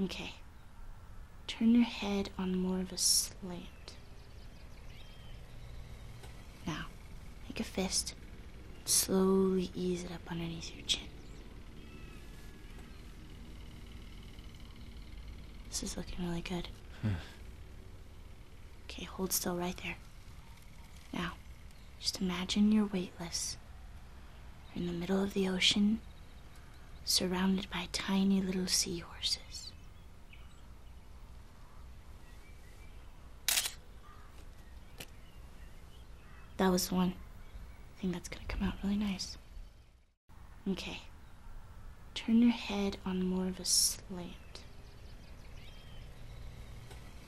Okay. Turn your head on more of a slant. Now, make a fist. Slowly ease it up underneath your chin. This is looking really good. Hmm. okay, hold still right there. Now, just imagine you're weightless. You're in the middle of the ocean, surrounded by tiny little seahorses. That was the one thing that's gonna come out really nice. Okay. Turn your head on more of a slant.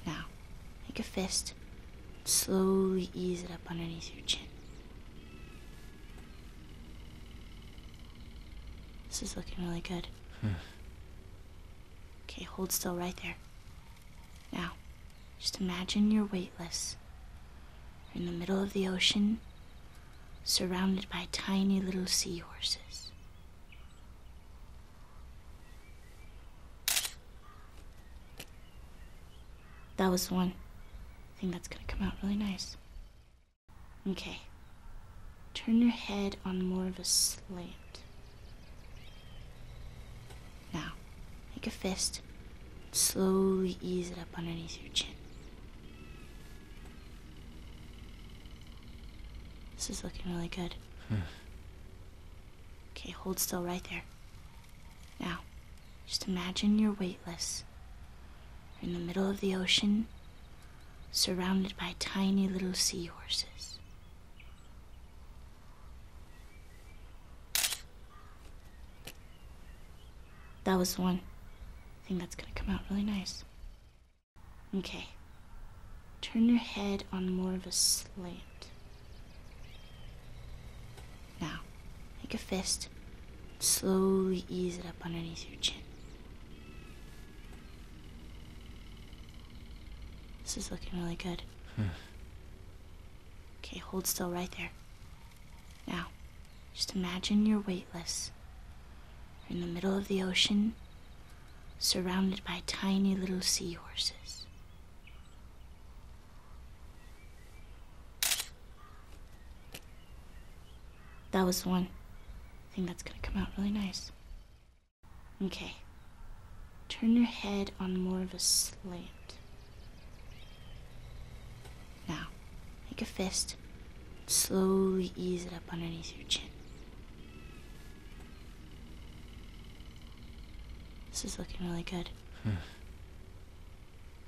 Now, make a fist. Slowly ease it up underneath your chin. This is looking really good. Hmm. okay, hold still right there. Now, just imagine you're weightless islands in the middle of the ocean, surrounded by tiny little seahorses. That was the one thing that's gonna come out really nice. Okay. Turn your head on more of a slant. Now, make a fist Slowly ease it up underneath your chin. This is looking really good. Hmm. okay, hold still right there. Now, just imagine you're weightless. in the middle of the ocean, surrounded by tiny little seahorses. That was one thing that's gonna come out really nice. Okay. Turn your head on more of a slant. Now, make a fist. Slowly ease it up underneath your chin. This is looking really good. Hmm. okay, hold still right there. Now, just imagine you're weightless. You're in the middle of the ocean, surrounded by tiny little seahorses. That was one thing that's gonna come out really nice. Okay. Turn your head on more of a slant. Now, make a fist. Slowly ease it up underneath your chin. This is looking really good. Hmm.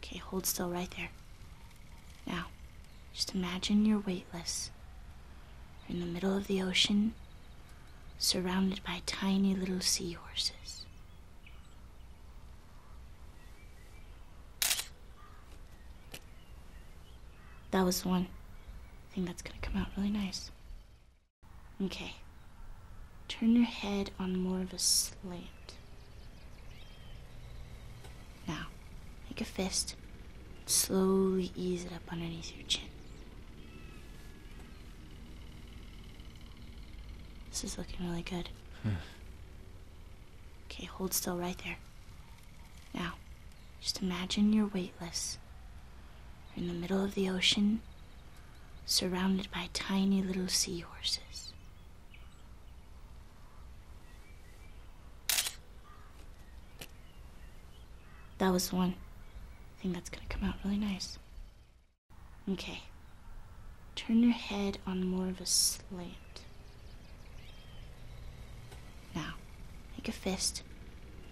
okay, hold still right there. Now, just imagine you're weightless. You're in the middle of the ocean, surrounded by tiny little seahorses. That was the one thing that's gonna come out really nice. Okay. Turn your head on more of a slant. Now, make a fist. Slowly ease it up underneath your chin. This is looking really good. Hmm. Okay, hold still right there. Now, just imagine you're weightless. You're in the middle of the ocean, surrounded by tiny little seahorses. That was one. I think that's gonna come out really nice. Okay. Turn your head on more of a slant. Now, make a fist.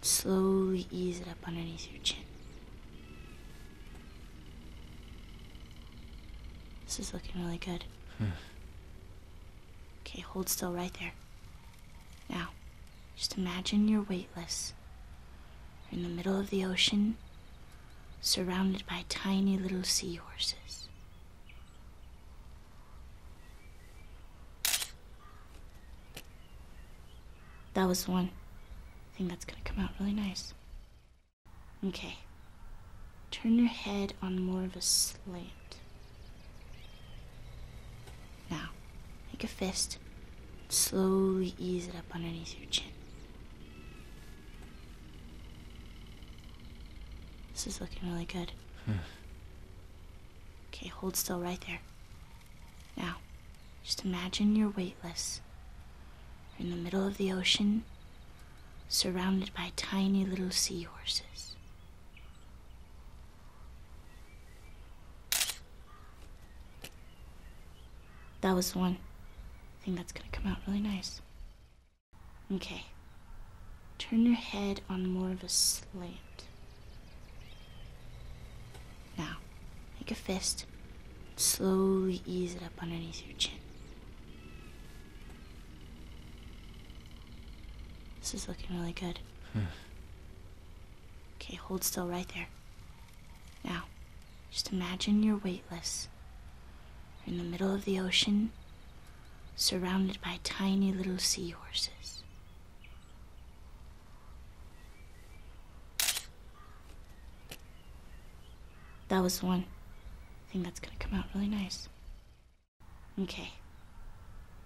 Slowly ease it up underneath your chin. This is looking really good. Hmm. okay, hold still right there. Now, just imagine you're weightless. You're in the middle of the ocean, surrounded by tiny little seahorses. That was the one thing that's gonna come out really nice. Okay. Turn your head on more of a slant. Now, make a fist. Slowly ease it up underneath your chin. This is looking really good. Hmm. okay, hold still right there. Now, just imagine you're weightless. You're in the middle of the ocean, surrounded by tiny little sea horses. That was the one thing that's gonna come out really nice. Okay. Turn your head on more of a slant. Now, make a fist. Slowly ease it up underneath your chin. This is looking really good. Hmm. okay, hold still right there. Now, just imagine you're weightless. You're in the middle of the ocean, surrounded by tiny little seahorses. That was one. I think that's gonna come out really nice. Okay.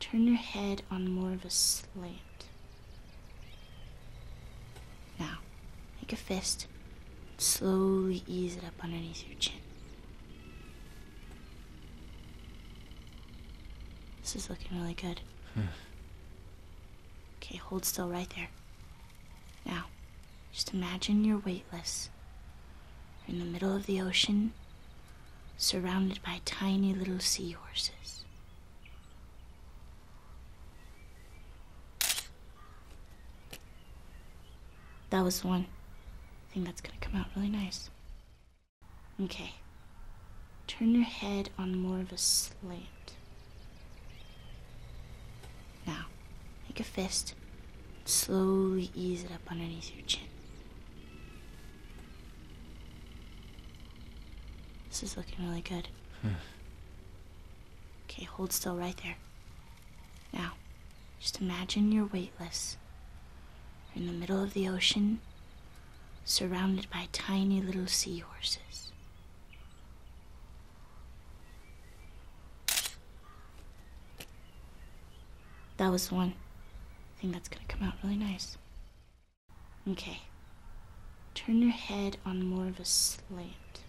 Turn your head on more of a slant. Now, make a fist. Slowly ease it up underneath your chin. This is looking really good. Hmm. okay, hold still right there. Now, just imagine you're weightless. in the middle of the ocean, surrounded by tiny little seahorses. That was one thing that's gonna come out really nice. Okay. Turn your head on more of a slant. Now, make a fist. Slowly ease it up underneath your chin. This is looking really good. Hmm. okay, hold still right there. Now, just imagine you're weightless. You're in the middle of the ocean, surrounded by tiny little seahorses. That was the one thing that's gonna come out really nice. Okay. Turn your head on more of a slant.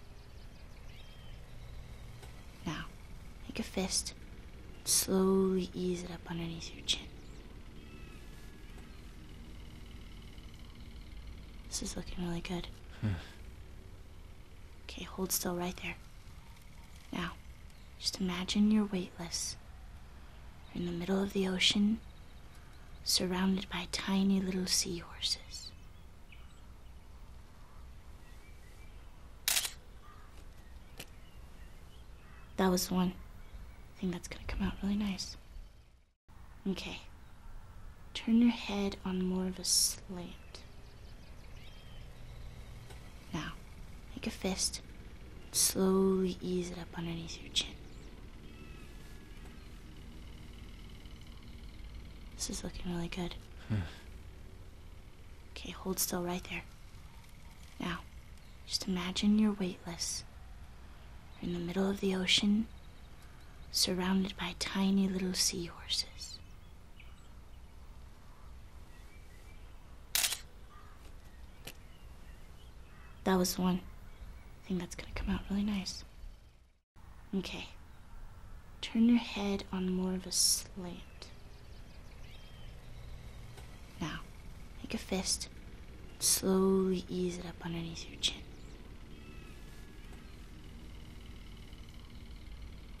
Now, make a fist. Slowly ease it up underneath your chin. This is looking really good. Hmm. okay, hold still right there. Now, just imagine you're weightless. in the middle of the ocean, surrounded by tiny little seahorses. That was the one thing that's gonna come out really nice. Okay. Turn your head on more of a slant. Now, make a fist. Slowly ease it up underneath your chin. This is looking really good. Hmm. Okay, hold still right there. Now, just imagine you're weightless. You're in the middle of the ocean, surrounded by tiny little seahorses. That was the one thing that's gonna come out really nice. Okay, turn your head on more of a slant. Now, make a fist, slowly ease it up underneath your chin.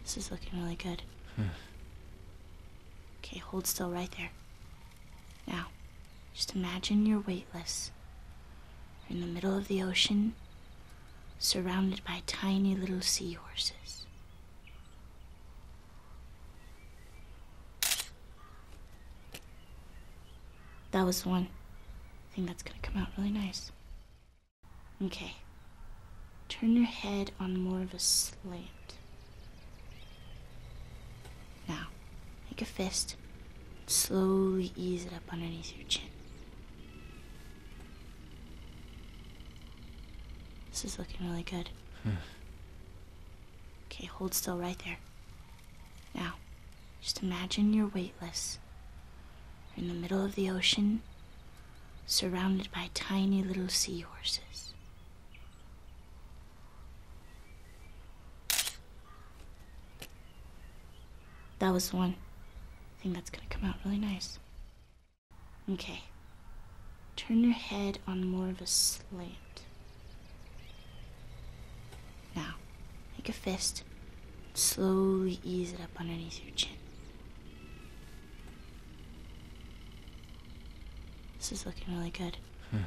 This is looking really good. Hmm. okay, hold still right there. Now, just imagine you're weightless. You're in the middle of the ocean, surrounded by tiny little seahorses. That was one. I think that's gonna come out really nice. Okay. Turn your head on more of a slant. Now, make a fist. Slowly ease it up underneath your chin. This is looking really good. Hmm. okay, hold still right there. Now, just imagine you're weightless. in the middle of the ocean, surrounded by tiny little sea horses. That was one thing that's gonna come out really nice. Okay. Turn your head on more of a slant. Now, make a fist. Slowly ease it up underneath your chin. This is looking really good. Hmm.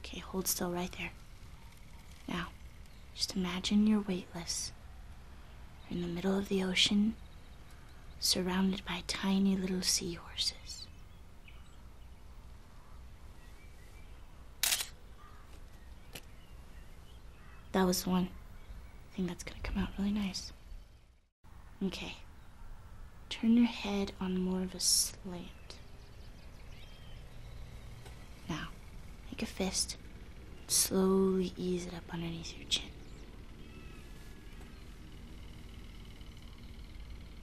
okay, hold still right there. Now, just imagine you're weightless. You're in the middle of the ocean, surrounded by tiny little seahorses. That was the one thing that's gonna come out really nice. Okay. Turn your head on more of a slant. Now, make a fist. Slowly ease it up underneath your chin.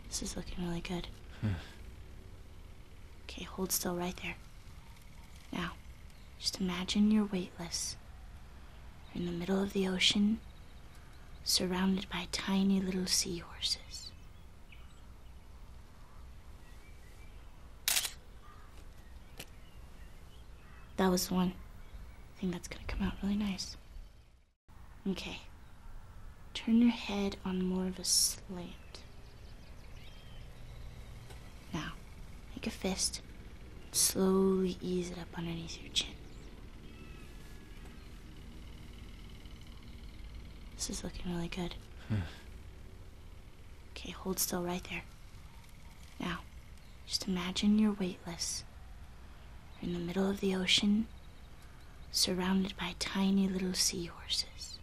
This is looking really good. Hmm. okay, hold still right there. Now, just imagine you're weightless. You're in the middle of the ocean, surrounded by tiny little seahorses. That was one. I think that's gonna come out really nice. Okay. Turn your head on more of a slant. Now, make a fist. Slowly ease it up underneath your chin. This is looking really good. Hmm. okay, hold still right there. Now, just imagine you're weightless. You're in the middle of the ocean, surrounded by tiny little seahorses.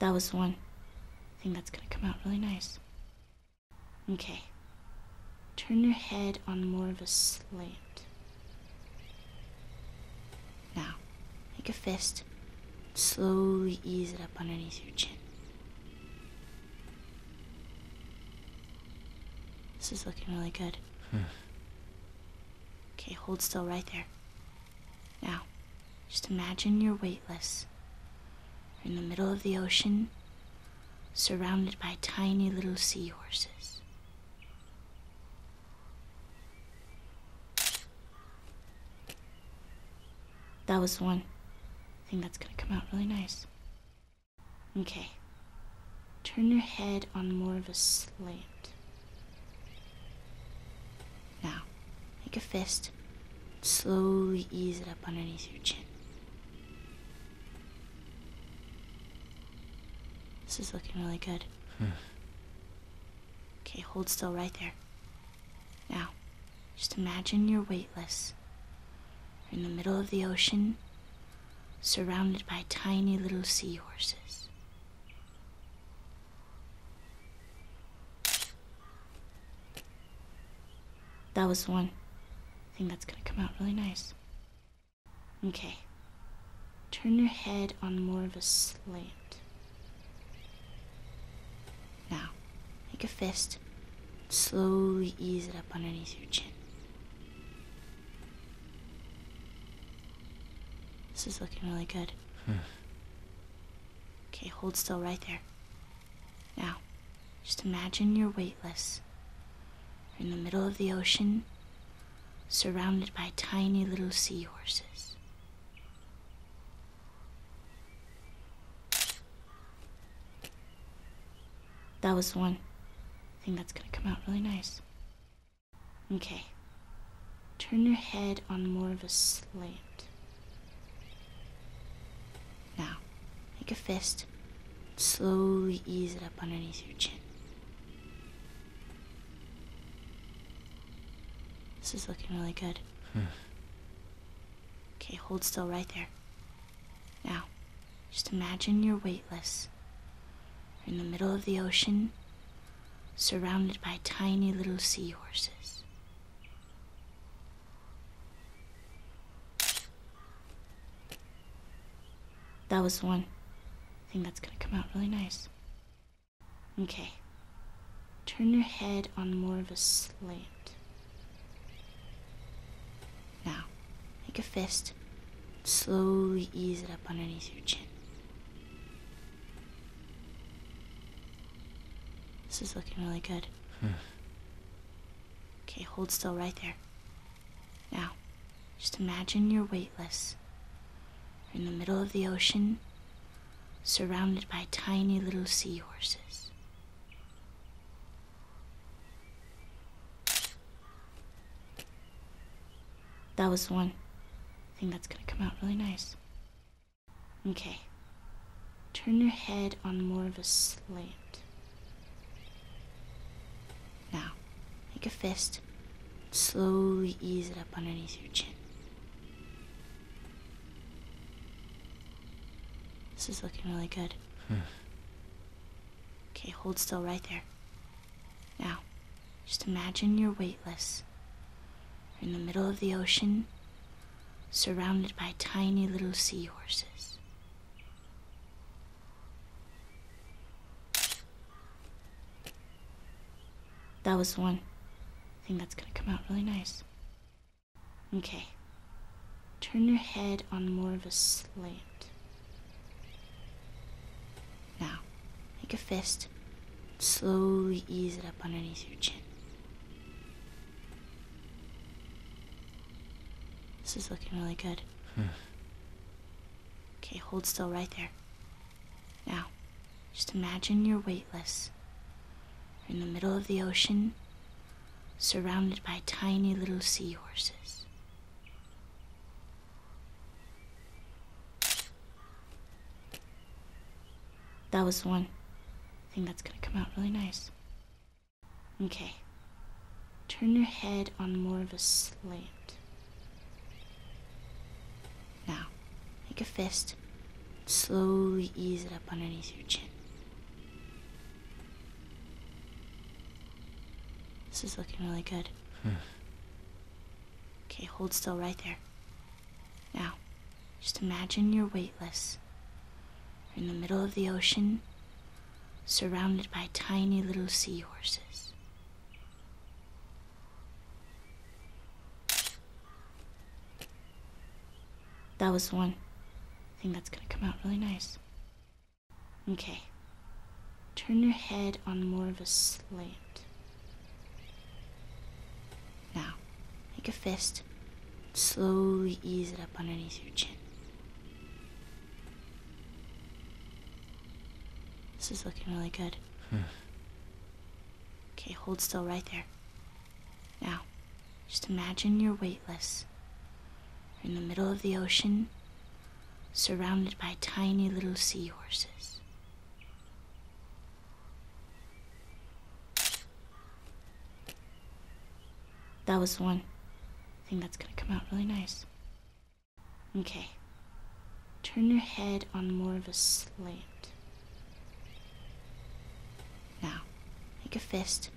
That was the one thing that's gonna come out really nice. Okay. Turn your head on more of a slant. Now, make a fist. Slowly ease it up underneath your chin. This is looking really good. Hmm. okay, hold still right there. Now, just imagine you're weightless. You're in the middle of the ocean, surrounded by tiny little seahorses. That was one thing that's gonna come out really nice. Okay. Turn your head on more of a slant. Now, make a fist. Slowly ease it up underneath your chin. This is looking really good. Hmm. Okay, hold still right there. Now, just imagine you're weightless. You're in the middle of the ocean, surrounded by tiny little seahorses. That was one. I think that's gonna come out really nice. Okay. Turn your head on more of a slant. Now, make a fist. Slowly ease it up underneath your chin. This is looking really good. Hmm. okay, hold still right there. Now, just imagine you're weightless. You're in the middle of the ocean, surrounded by tiny little seahorses. That was one. I think that's gonna come out really nice. Okay. Turn your head on more of a slant. Now, make a fist. Slowly ease it up underneath your chin. This is looking really good. Hmm. okay, hold still right there. Now, just imagine you're weightless. You're in the middle of the ocean, surrounded by tiny little seahorses. That was the one thing that's gonna come out really nice. Okay. Turn your head on more of a slant. Now, make a fist. Slowly ease it up underneath your chin. This is looking really good. Hmm. okay, hold still right there. Now, just imagine you're weightless in the middle of the ocean, surrounded by tiny little seahorses. That was one thing that's gonna come out really nice. Okay. Turn your head on more of a slant. Now, make a fist Slowly ease it up underneath your chin. This is looking really good. Hmm. okay, hold still right there. Now, just imagine you're weightless. You're in the middle of the ocean, surrounded by tiny little seahorses. That was the one thing that's gonna come out really nice. Okay. Turn your head on more of a slant. Now, make a fist. Slowly ease it up underneath your chin. This is looking really good. Hmm. okay, hold still right there. Now, just imagine you're weightless. You're in the middle of the ocean, surrounded by tiny little seahorses. That was the one thing that's gonna come out really nice. Okay. Turn your head on more of a slant. Now, make a fist. Slowly ease it up underneath your chin. This is looking really good. Hmm. okay, hold still right there. Now, just imagine you're weightless. You're in the middle of the ocean, surrounded by tiny little seahorses. That was the one thing that's gonna come out really nice. Okay. Turn your head on more of a slant. Now, make a fist. Slowly ease it up underneath your chin. This is looking really good. Hmm. Okay, hold still right there. Now, just imagine you're weightless. You're in the middle of the ocean, surrounded by tiny little seahorses. That was one. I think that's gonna come out really nice. Okay, turn your head on more of a slant. Now, make a fist,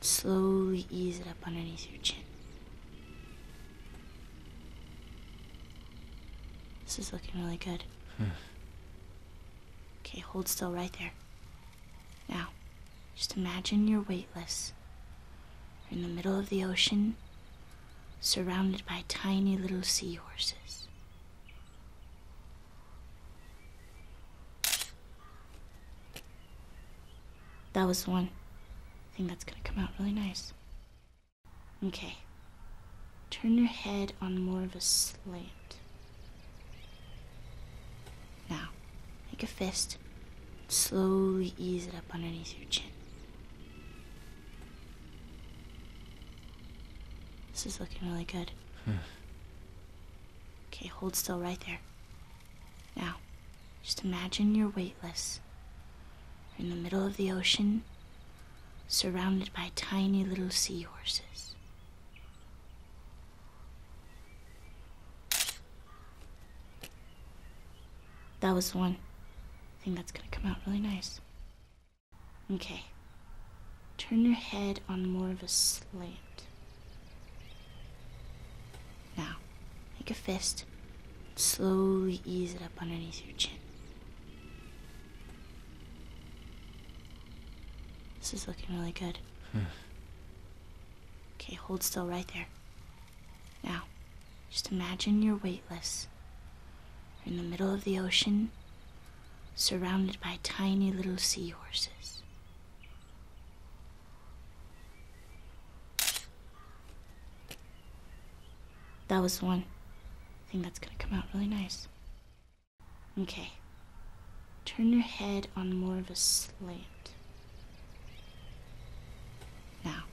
slowly ease it up underneath your chin. This is looking really good. Hmm. okay, hold still right there. Now, just imagine you're weightless. You're in the middle of the ocean, surrounded by tiny little seahorses. That was one. I think that's gonna come out really nice. Okay. Turn your head on more of a slant. Now, make a fist. Slowly ease it up underneath your chin. This is looking really good. Hmm. okay, hold still right there. Now, just imagine you're weightless. You're in the middle of the ocean, surrounded by tiny little seahorses. That was the one thing that's gonna come out really nice. Okay. Turn your head on more of a slant. Now, make a fist. Slowly ease it up underneath your chin. This is looking really good. Hmm. okay, hold still right there. Now, just imagine you're weightless. You're in the middle of the ocean, surrounded by tiny little seahorses. That was one I think that's gonna come out really nice. Okay. Turn your head on more of a slant. Now,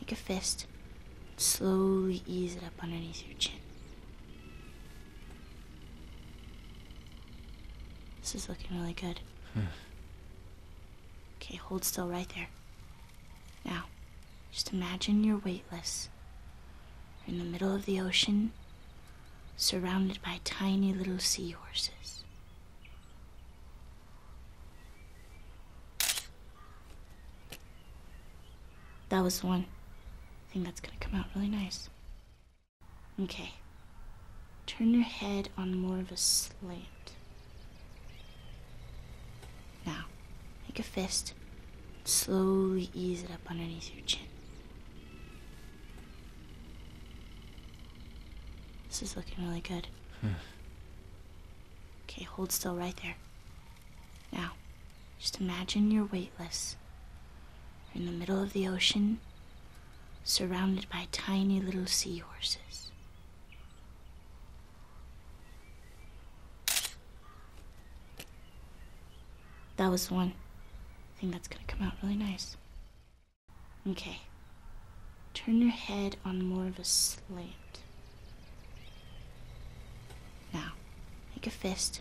make a fist. Slowly ease it up underneath your chin. This is looking really good. Hmm. okay, hold still right there. Now, just imagine you're weightless. You're in the middle of the ocean, surrounded by tiny little seahorses. That was one thing that's gonna come out really nice. Okay. Turn your head on more of a slant. Now, make a fist. Slowly ease it up underneath your chin. This is looking really good. Hmm. okay, hold still right there. Now, just imagine you're weightless. You're in the middle of the ocean, surrounded by tiny little seahorses. That was the one thing that's gonna come out really nice. Okay. Turn your head on more of a slant. Now, make a fist.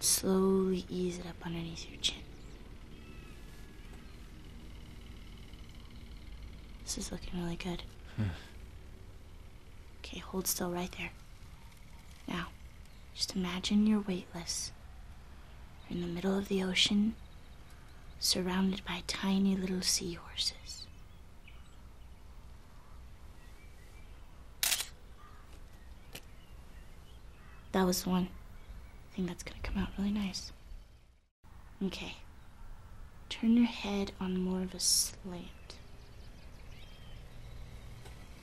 Slowly ease it up underneath your chin. This is looking really good. Hmm. okay, hold still right there. Now, just imagine you're weightless. You're in the middle of the ocean, surrounded by tiny little seahorses. That was the one thing that's gonna come out really nice. Okay. Turn your head on more of a slant.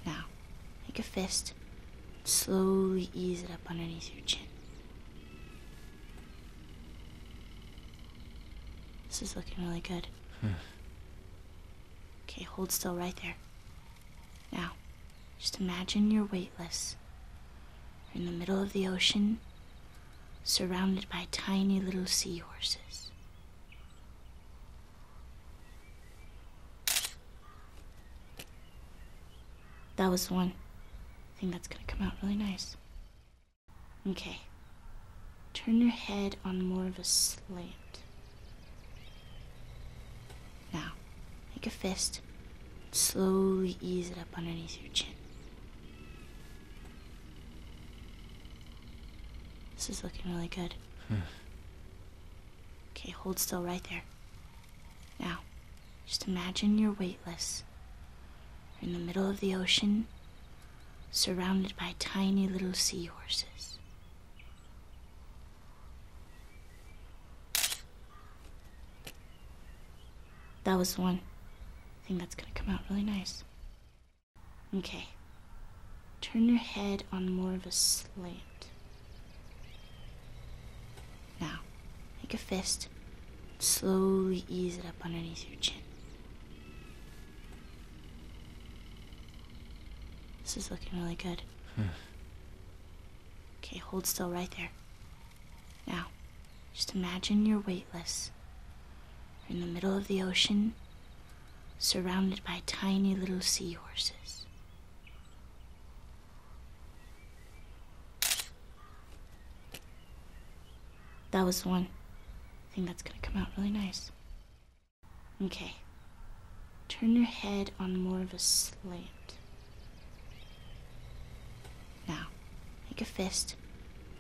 Now, make a fist. Slowly ease it up underneath your chin. This is looking really good. Hmm. Okay, hold still right there. Now, just imagine you're weightless. You're in the middle of the ocean, surrounded by tiny little seahorses. That was one. I think that's gonna come out really nice. Okay. Turn your head on more of a slant. Now, make a fist. Slowly ease it up underneath your chin. This is looking really good. Hmm. okay, hold still right there. Now, just imagine you're weightless. You're in the middle of the ocean, surrounded by tiny little seahorses. That was the one thing that's gonna come out really nice. Okay. Turn your head on more of a slant. Now, make a fist. Slowly ease it up underneath your chin. This is looking really good. Hmm. okay, hold still right there. Now, just imagine you're weightless. You're in the middle of the ocean, surrounded by tiny little seahorses. That was the one thing that's gonna come out really nice. Okay. Turn your head on more of a slant. Now, make a fist.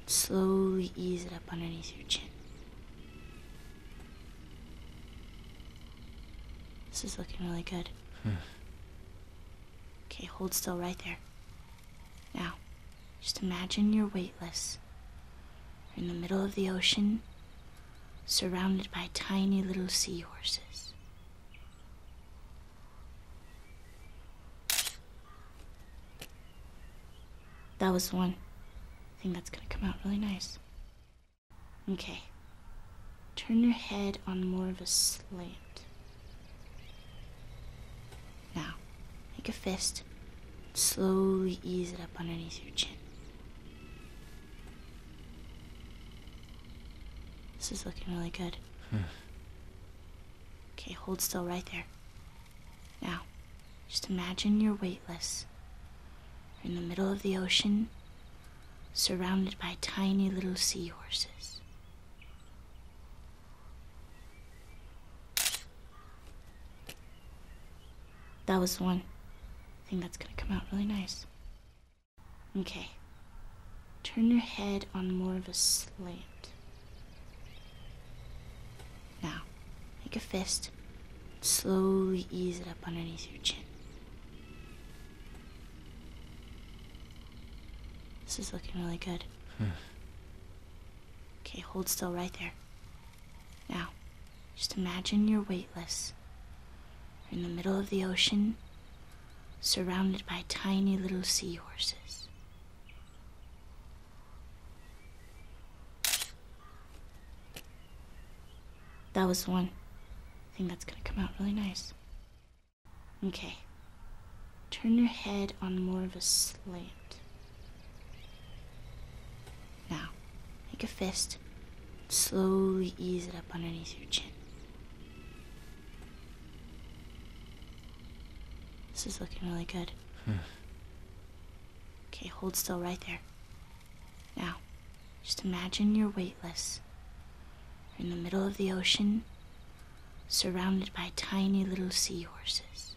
Slowly ease it up underneath your chin. This is looking really good. Hmm. okay, hold still right there. Now, just imagine you're weightless. You're in the middle of the ocean, surrounded by tiny little seahorses. That was one. I think that's gonna come out really nice. Okay, turn your head on more of a slant. Now, make a fist, slowly ease it up underneath your chin. This is looking really good. Hmm. okay, hold still right there. Now, just imagine you're weightless. in the middle of the ocean, surrounded by tiny little seahorses. That was one thing that's gonna come out really nice. Okay. Turn your head on more of a slant. Now, make a fist. Slowly ease it up underneath your chin. This is looking really good. Hmm. okay, hold still right there. Now, just imagine you're weightless. You're in the middle of the ocean, surrounded by tiny little seahorses. That was the one thing that's gonna come out really nice. Okay. Turn your head on more of a slant. Now, make a fist Slowly ease it up underneath your chin. This is looking really good. Hmm. okay, hold still right there. Now, just imagine you're weightless. You're in the middle of the ocean, surrounded by tiny little seahorses.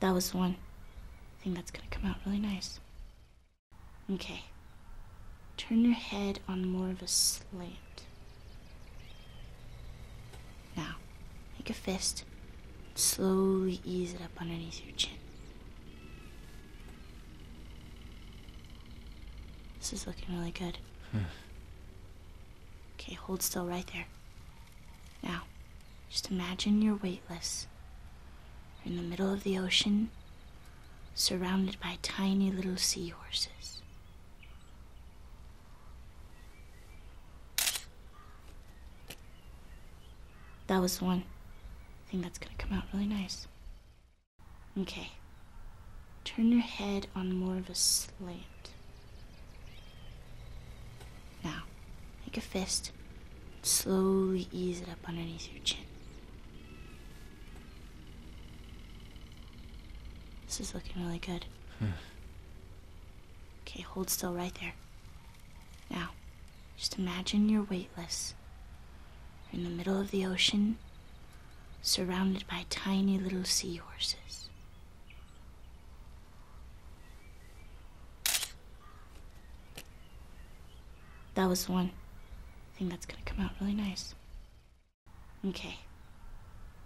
That was the one thing that's gonna come out really nice. Okay. Turn your head on more of a slant. Now, make a fist. Slowly ease it up underneath your chin. This is looking really good. Hmm. Okay, hold still right there. Now, just imagine you're weightless. You're in the middle of the ocean, surrounded by tiny little seahorses. That was the one thing that's gonna come out really nice. Okay. Turn your head on more of a slant. Now, make a fist. Slowly ease it up underneath your chin. This is looking really good. Hmm. okay, hold still right there. Now, just imagine you're weightless. You're in the middle of the ocean, surrounded by tiny little seahorses. That was one thing that's gonna come out really nice. Okay.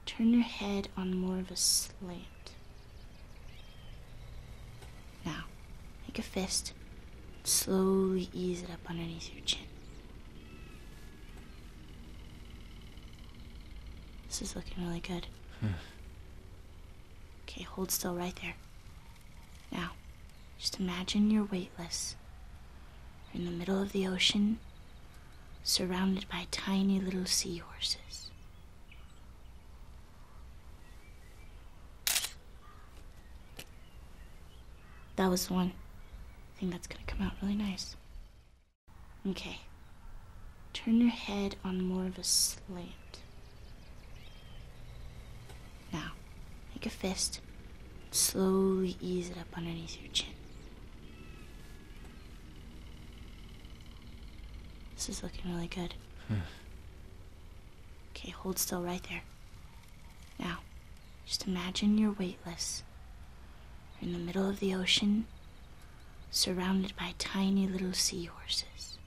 Turn your head on more of a slant. Now, make a fist. Slowly ease it up underneath your chin. This is looking really good. Hmm. okay, hold still right there. Now, just imagine you're weightless. in the middle of the ocean, surrounded by tiny little seahorses. That was the one thing that's gonna come out really nice. Okay. Turn your head on more of a slant. Now, make a fist. Slowly ease it up underneath your chin. This is looking really good. Hmm. okay, hold still right there. Now, just imagine you're weightless. You're in the middle of the ocean, surrounded by tiny little seahorses.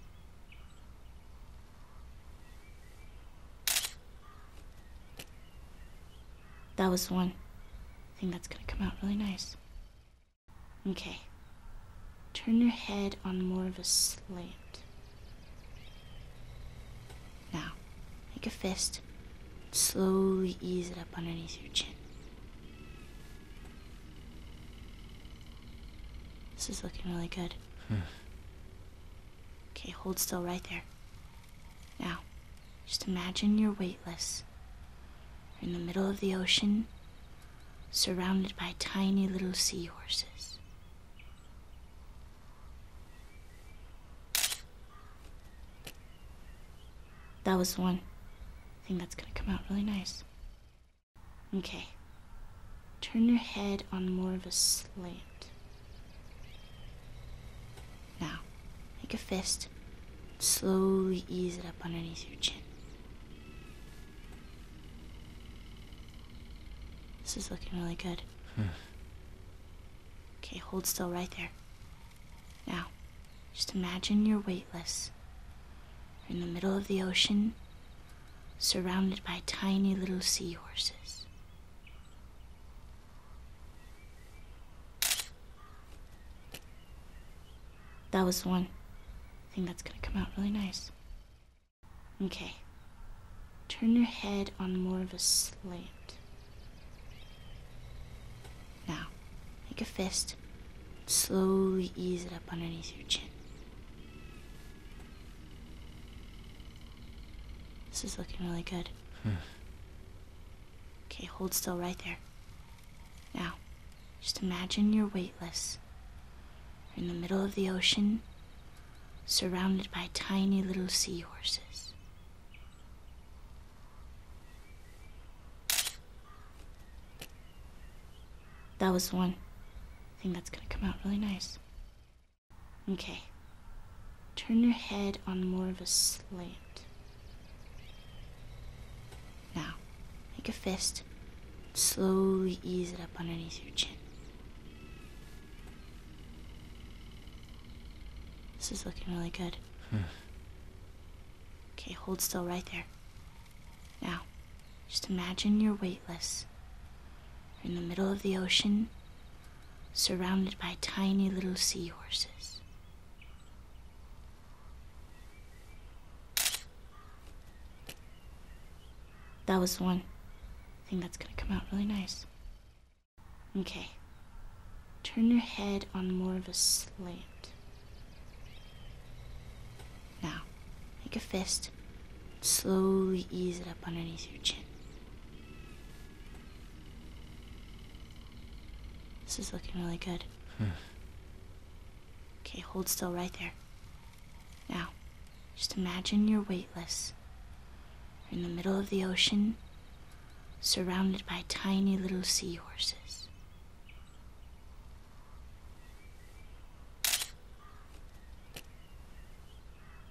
That was one. I think that's gonna come out really nice. Okay. Turn your head on more of a slant. Now, make a fist. Slowly ease it up underneath your chin. This is looking really good. Hmm. okay, hold still right there. Now, just imagine you're weightless. in the middle of the ocean, surrounded by tiny little seahorses. That was one. I think that's gonna come out really nice. Okay. Turn your head on more of a slant. Now, make a fist. Slowly ease it up underneath your chin. This is looking really good. Hmm. okay, hold still right there. Now, just imagine you're weightless. You're in the middle of the ocean, surrounded by tiny little seahorses. That was one thing that's gonna come out really nice. Okay. Turn your head on more of a slant. Now, Make a fist. Slowly ease it up underneath your chin. This is looking really good. Hmm. okay, hold still right there. Now, just imagine you're weightless. You're in the middle of the ocean, surrounded by tiny little seahorses. That was the one thing that's gonna come out really nice. Okay. Turn your head on more of a slant. Now, make a fist. Slowly ease it up underneath your chin. This is looking really good. Hmm. okay, hold still right there. Now, just imagine you're weightless. You're in the middle of the ocean, surrounded by tiny little seahorses. That was the one thing that's gonna come out really nice. Okay. Turn your head on more of a slant. Now, make a fist. Slowly ease it up underneath your chin. This is looking really good. Hmm. okay, hold still right there. Now, just imagine you're weightless. You're in the middle of the ocean, surrounded by tiny little seahorses.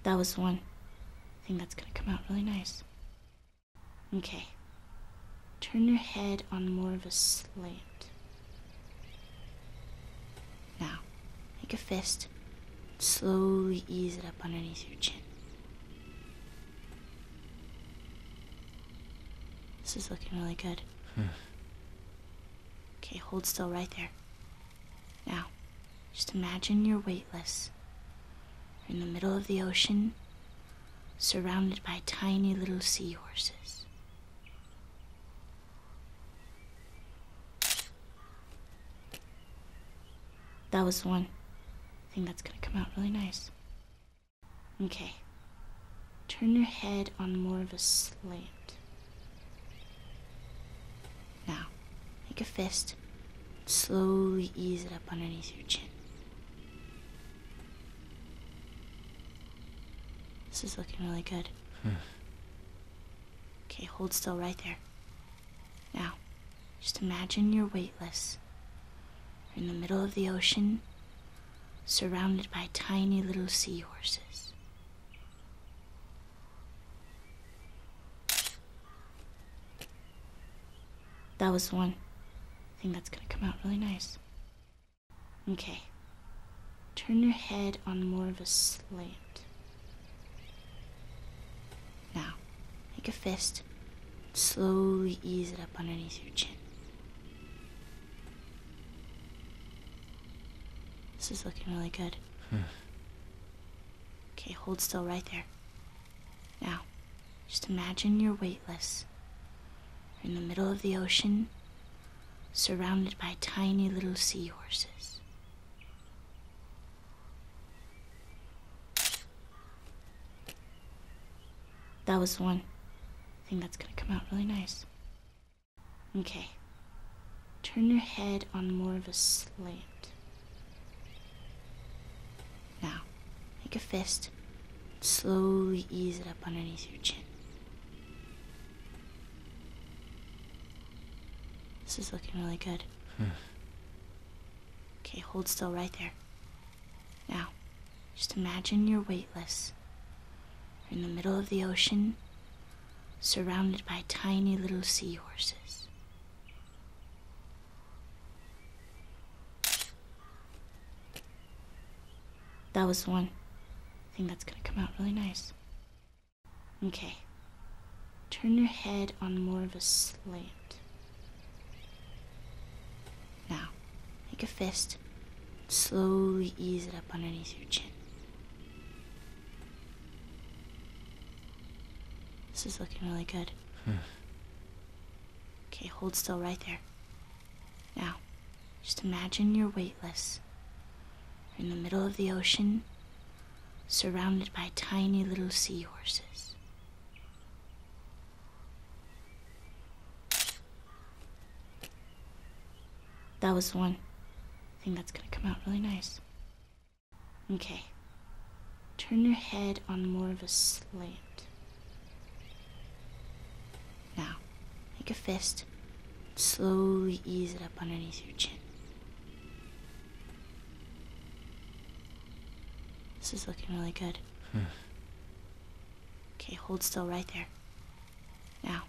That was one. I think that's gonna come out really nice. Okay. Turn your head on more of a slant. Now, make a fist. Slowly ease it up underneath your chin. This is looking really good. Hmm. okay, hold still right there. Now, just imagine you're weightless. You're in the middle of the ocean, surrounded by tiny little seahorses. That was the one thing that's gonna come out really nice. Okay. Turn your head on more of a slant. Now, make a fist. Slowly ease it up underneath your chin. This is looking really good. Hmm. okay, hold still right there. Now, just imagine you're weightless in the middle of the ocean, surrounded by tiny little seahorses. That was the one thing that's gonna come out really nice. Okay. Turn your head on more of a slant. Now, make a fist. Slowly ease it up underneath your chin. This is looking really good. Hmm. okay, hold still right there. Now, just imagine you're weightless. in the middle of the ocean, surrounded by tiny little seahorses. That was the one thing that's gonna come out really nice. Okay. Turn your head on more of a slant. Now, make a fist. Slowly ease it up underneath your chin. This is looking really good. Hmm. okay, hold still right there. Now, just imagine you're weightless is. are in the middle of the ocean, surrounded by tiny little seahorses. That was the one thing that's gonna come out really nice. Okay. Turn your head on more of a slant. Now, make a fist. Slowly ease it up underneath your chin. This is looking really good. Hmm. okay, hold still right there. Now, just imagine you're weightless. You're in the middle of the ocean, surrounded by tiny little seahorses. That was one thing that's gonna come out really nice. Okay. Turn your head on more of a slant. Now, make a fist. Slowly ease it up underneath your chin. This is looking really good. Hmm. okay, hold still right there. Now,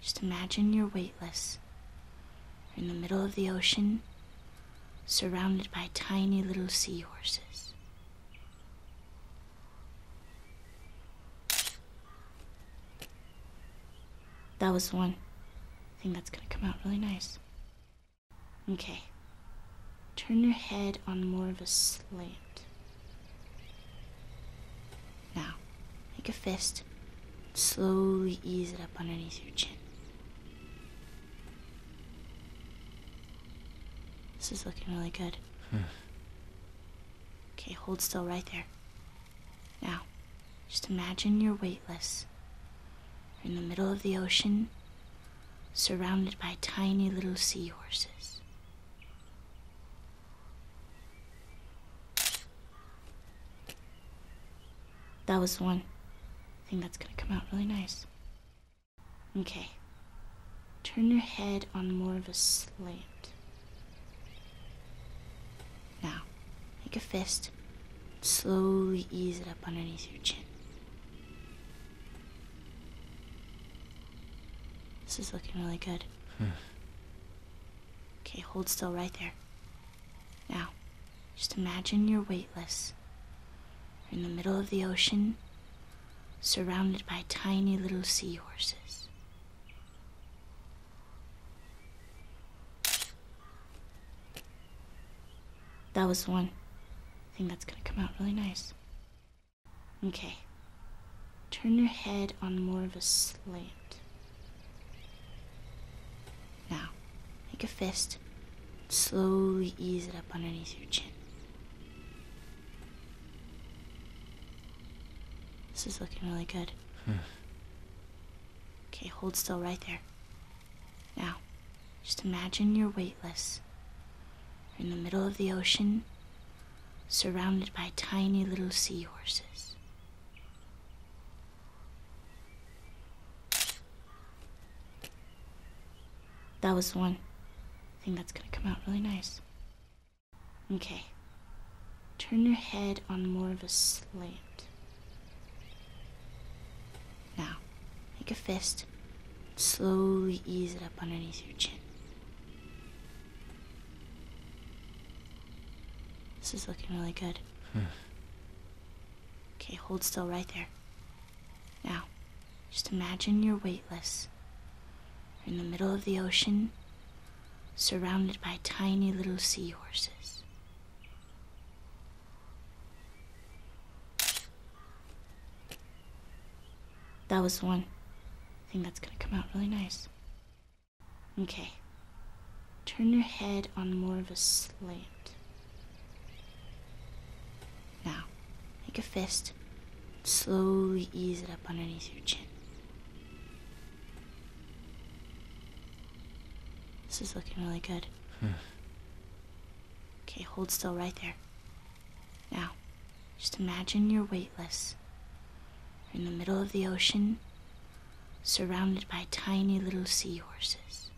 just imagine you're weightless. You're in the middle of the ocean, surrounded by tiny little seahorses. That was the one thing that's gonna come out really nice. Okay. Turn your head on more of a slant. Now, make a fist. Slowly ease it up underneath your chin. This is looking really good. Hmm. okay, hold still right there. Now, just imagine you're weightless. You're in the middle of the ocean, surrounded by tiny little seahorses. That was one thing that's gonna come out really nice. Okay. Turn your head on more of a slant. Now, make a fist. Slowly ease it up underneath your chin. This is looking really good okay, hold still right there. Now, just imagine you're weightless. You're in the middle of the ocean, surrounded by tiny little seahorses. That was one thing that's gonna come out really nice. Okay. Turn your head on more of a slant. Now, make a fist. Slowly ease it up underneath your chin. This is looking really good. Hmm. okay, hold still right there. Now, just imagine you're weightless. You're in the middle of the ocean, surrounded by tiny little seahorses. That was one thing that's gonna come out really nice. Okay. Turn your head on more of a slant. Now, make a fist. Slowly ease it up underneath your chin. This is looking really good. Hmm. okay, hold still right there. Now, just imagine you're weightless. in the middle of the ocean, surrounded by tiny little seahorses. That was the one thing that's gonna come out really nice. Okay. Turn your head on more of a slant. Now, make a fist. Slowly ease it up underneath your chin. This is looking really good. Hmm. okay, hold still right there. Now, just imagine you're weightless. in the middle of the ocean, surrounded by tiny little seahorses.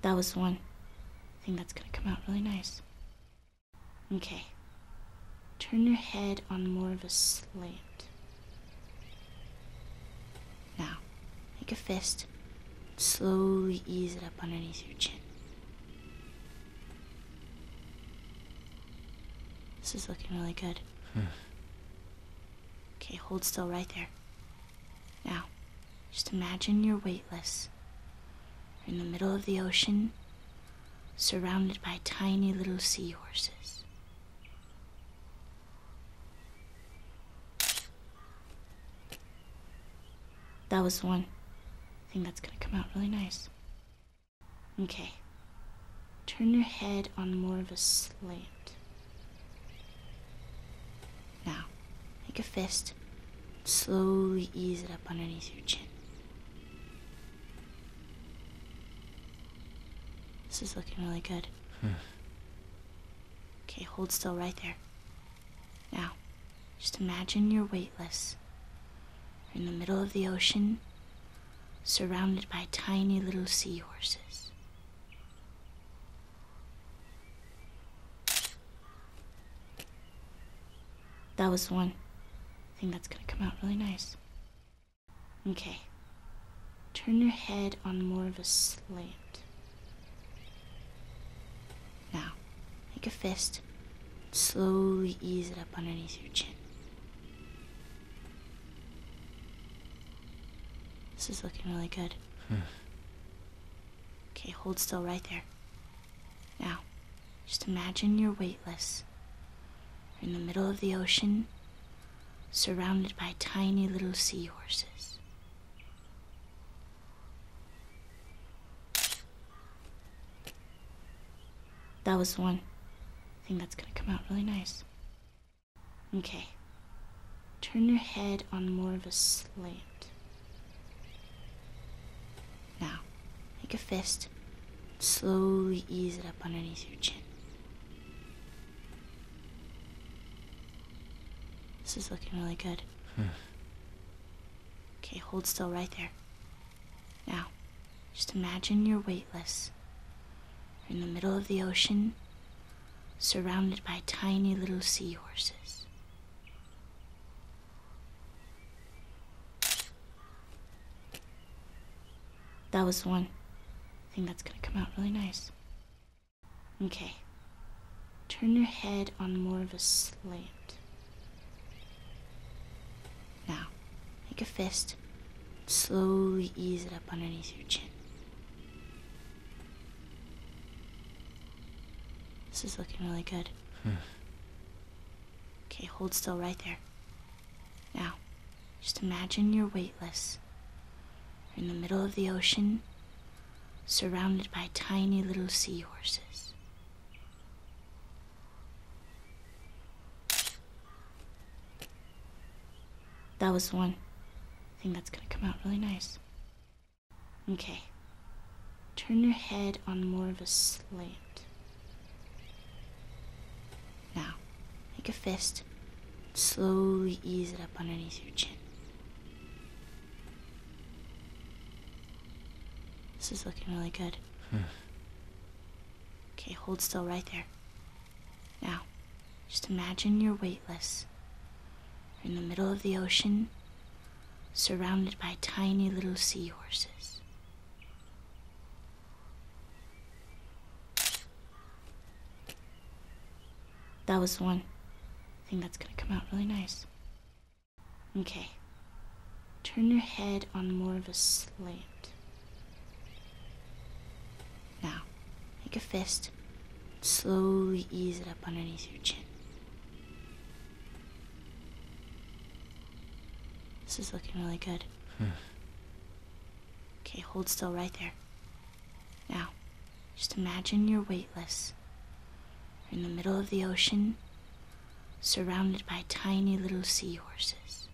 That was one. I think that's gonna come out really nice. Okay. Turn your head on more of a slant. Now, make a fist. Slowly ease it up underneath your chin. This is looking really good. Hmm. okay, hold still right there. Now, just imagine you're weightless. You're in the middle of the ocean, surrounded by tiny little seahorses. That was one thing that's gonna come out really nice. Okay. Turn your head on more of a slant. Now, make a fist. Slowly ease it up underneath your chin. This is looking really good. Hmm. okay, hold still right there. Now, just imagine you're weightless. You're in the middle of the ocean, surrounded by tiny little seahorses. That was the one thing that's gonna come out really nice. Okay. Turn your head on more of a slant. Now, make a fist. Slowly ease it up underneath your chin. This is looking really good. Hmm. okay, hold still right there. Now, just imagine you're weightless. You're in the middle of the ocean, surrounded by tiny little seahorses. That was the one thing that's gonna come out really nice. Okay. Turn your head on more of a slant. Now, make a fist. Slowly ease it up underneath your chin. This is looking really good. okay, hold still right there. Now, just imagine you're weightless. in the middle of the ocean, surrounded by tiny little seahorses. That was the one thing that's gonna come out really nice. Okay. Turn your head on more of a slant. Now, make a fist. Slowly ease it up underneath your chin. This is looking really good. Hmm. okay, hold still right there. Now, just imagine you're weightless. You're in the middle of the ocean, surrounded by tiny little seahorses. That was one I think that's gonna come out really nice. Okay. Turn your head on more of a slant. Now, make a fist. Slowly ease it up underneath your chin. This is looking really good. Hmm. okay, hold still right there. Now, just imagine you're weightless. in the middle of the ocean, surrounded by tiny little seahorses. That was the one thing that's gonna come out really nice. Okay. Turn your head on more of a slant. Now, make a fist. Slowly ease it up underneath your chin. This is looking really good. Hmm. okay, hold still right there. Now, just imagine you're weightless. You're in the middle of the ocean, surrounded by tiny little seahorses.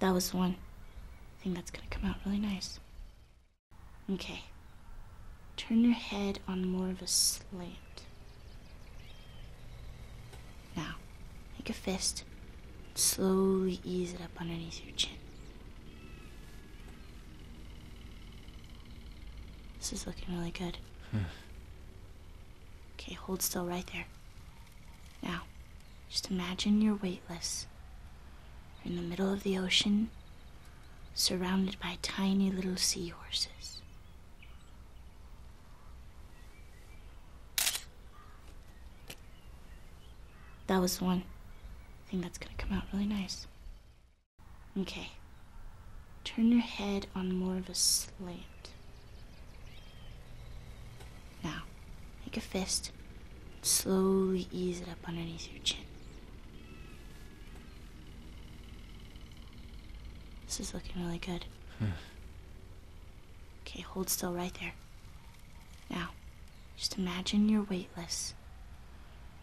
That was one. I think that's gonna come out really nice. Okay. Turn your head on more of a slant. Now, make a fist. Slowly ease it up underneath your chin. This is looking really good. Hmm. okay, hold still right there. Now, just imagine you're weightless. You're in the middle of the ocean, surrounded by tiny little seahorses. That was one thing that's gonna come out really nice. Okay. Turn your head on more of a slant. Now, make a fist. Slowly ease it up underneath your chin. This is looking really good. Hmm. okay, hold still right there. Now, just imagine you're weightless.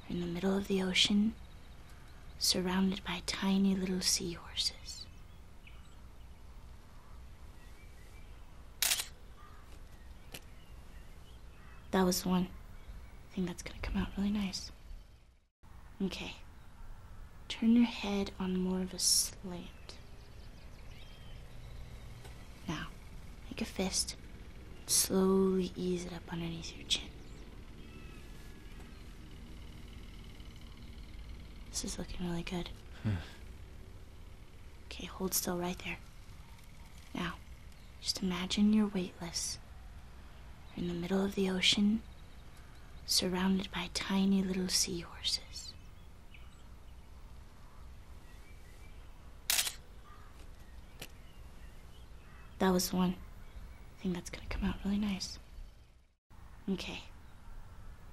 You're in the middle of the ocean, surrounded by tiny little seahorses. That was one thing that's gonna come out really nice. Okay. Turn your head on more of a slant. Now, make a fist. Slowly ease it up underneath your chin. This is looking really good. Hmm. okay, hold still right there. Now, just imagine you're weightless. You're in the middle of the ocean, surrounded by tiny little seahorses. That was the one thing that's gonna come out really nice. Okay.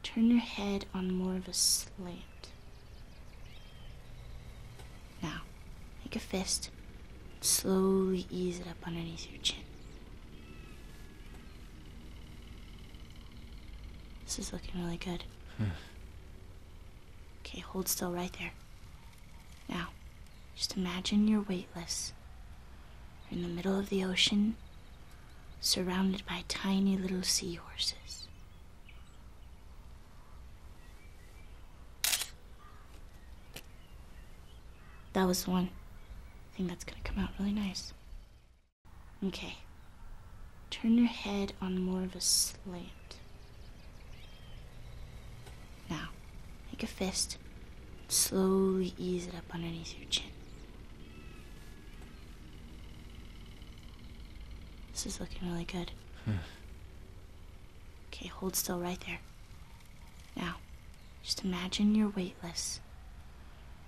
Turn your head on more of a slant. Now, make a fist. Slowly ease it up underneath your chin. This is looking really good okay, hold still right there. Now, just imagine you're weightless. You're in the middle of the ocean, surrounded by tiny little seahorses. That was the one thing that's gonna come out really nice. Okay. Turn your head on more of a slant. Now, make a fist. Slowly ease it up underneath your chin. This is looking really good. Hmm. okay, hold still right there. Now, just imagine you're weightless.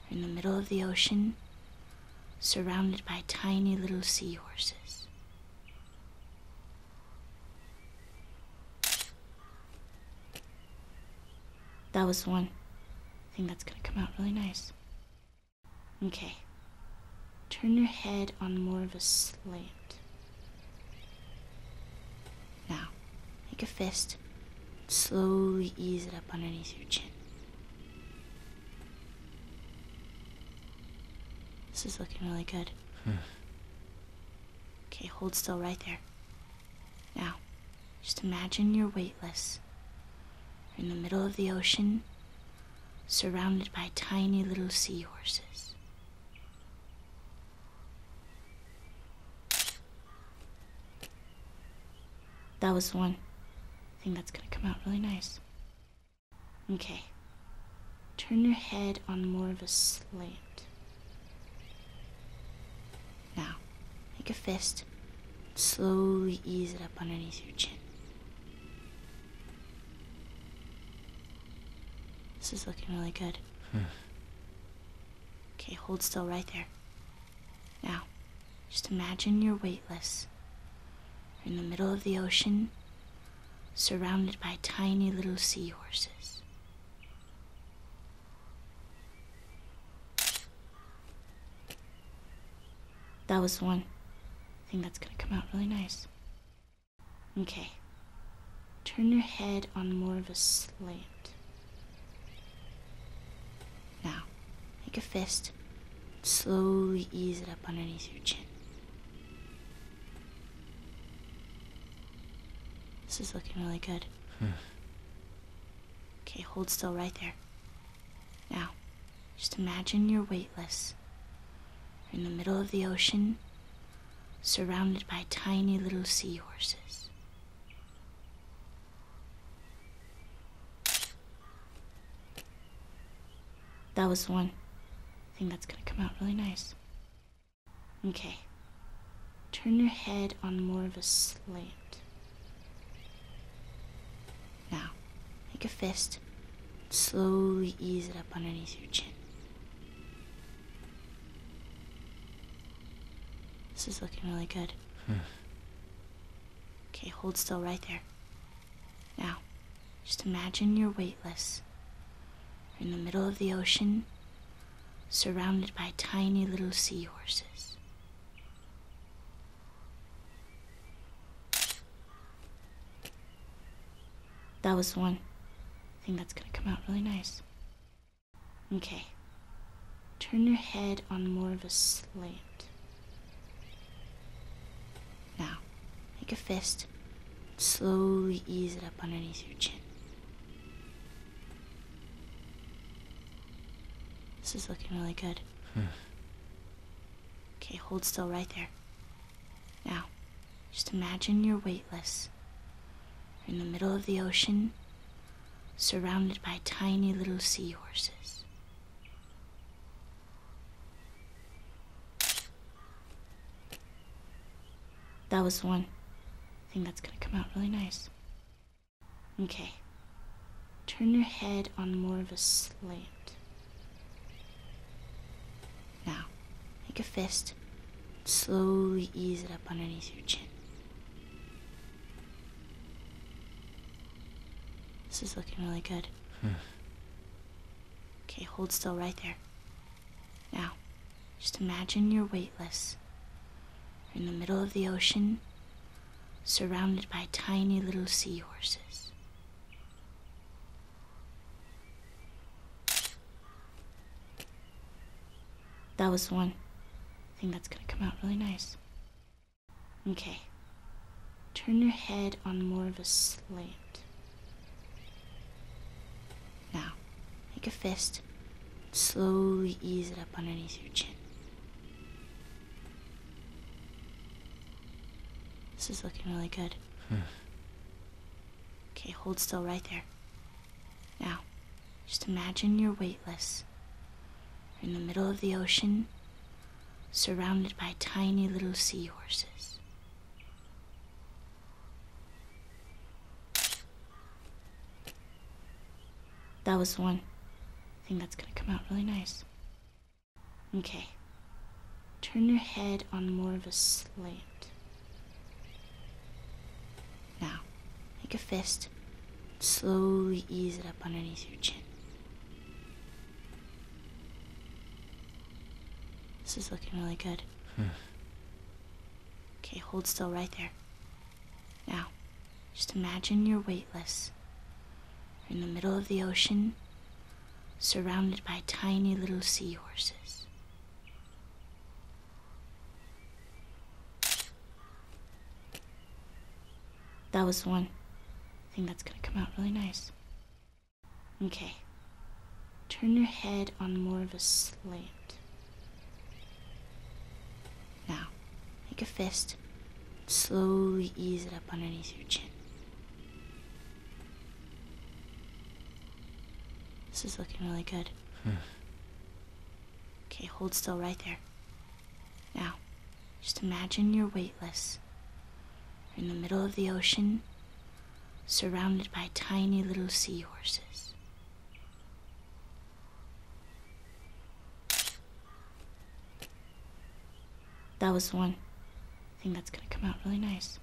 You're in the middle of the ocean, surrounded by tiny little seahorses. That was one. I think that's gonna come out really nice. Okay. Turn your head on more of a slant. Now, make a fist. Slowly ease it up underneath your chin. This is looking really good. Hmm. okay, hold still right there. Now, just imagine you're weightless. You're in the middle of the ocean, surrounded by tiny little seahorses. That was one thing that's gonna come out really nice. Okay. Turn your head on more of a slant. Now, make a fist. Slowly ease it up underneath your chin. This is looking really good. Hmm. okay, hold still right there. Now, just imagine you're weightless. You're in the middle of the ocean, surrounded by tiny little seahorses. That was one. I think that's gonna come out really nice. Okay. Turn your head on more of a slant. Now, make a fist. Slowly ease it up underneath your chin. This is looking really good. Hmm. okay, hold still right there. Now, just imagine you're weightless. You're in the middle of the ocean, surrounded by tiny little seahorses. That was the one thing that's gonna come out really nice. Okay. Turn your head on more of a slant. Now, make a fist. Slowly ease it up underneath your chin. This is looking really good. Hmm. okay, hold still right there. Now, just imagine you're weightless. You're in the middle of the ocean, surrounded by tiny little seahorses. That was the one thing that's gonna come out really nice. Okay. Turn your head on more of a slant. Now, make a fist. Slowly ease it up underneath your chin. This is looking really good. Hmm. okay, hold still right there. Now, just imagine you're weightless. You're in the middle of the ocean, surrounded by tiny little seahorses. That was one thing that's gonna come out really nice. Okay. Turn your head on more of a slant. Now, make a fist. Slowly ease it up underneath your chin. This is looking really good okay, hold still right there. Now, just imagine you're weightless. You're in the middle of the ocean, surrounded by tiny little seahorses. That was the one thing that's gonna come out really nice. Okay. Turn your head on more of a slant. Now, make a fist. Slowly ease it up underneath your chin. This is looking really good. Hmm. okay, hold still right there. Now, just imagine you're weightless. You're in the middle of the ocean, surrounded by tiny little seahorses. That was the one thing that's gonna come out really nice. Okay. Turn your head on more of a slant. Now, make a fist. Slowly ease it up underneath your chin. This is looking really good. Hmm. okay, hold still right there. Now, just imagine you're weightless. in the middle of the ocean, surrounded by tiny little seahorses. That was one. I think that's gonna come out really nice. Okay. Turn your head on more of a slant. Now, make a fist. Slowly ease it up underneath your chin. This is looking really good. Hmm. okay, hold still right there. Now, just imagine you're weightless. You're in the middle of the ocean, surrounded by tiny little seahorses. That was one. I think that's gonna come out really nice.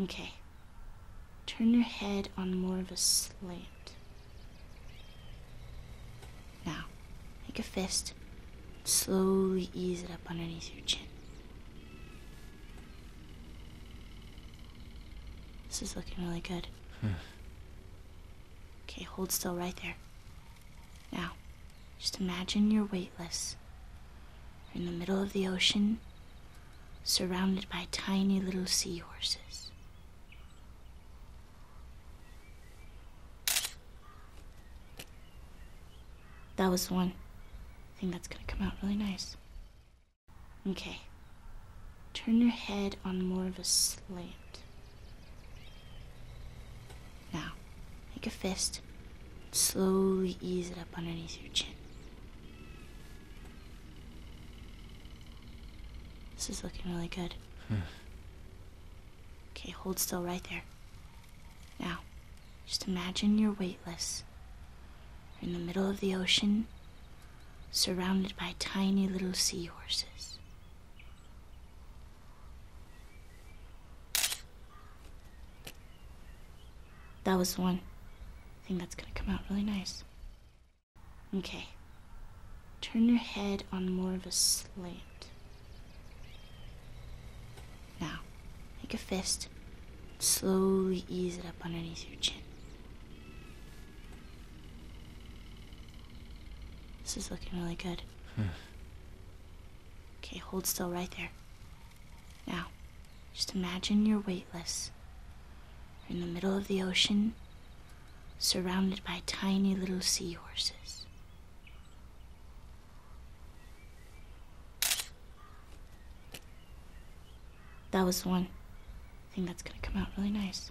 Okay. Turn your head on more of a slant. Now, make a fist. Slowly ease it up underneath your chin. This is looking really good. Hmm. okay, hold still right there. Now, just imagine you're weightless. You're in the middle of the ocean, surrounded by tiny little seahorses. That was the one thing that's gonna come out really nice. Okay. Turn your head on more of a slant. Now, make a fist. Slowly ease it up underneath your chin. This is looking really good. Hmm. okay, hold still right there. Now, just imagine you're weightless. You're in the middle of the ocean, surrounded by tiny little seahorses. That was the one thing that's gonna come out really nice. Okay. Turn your head on more of a slant. Now, make a fist. Slowly ease it up underneath your chin. This is looking really good. Hmm. okay, hold still right there. Now, just imagine you're weightless. You're in the middle of the ocean, surrounded by tiny little seahorses. That was one thing that's gonna come out really nice.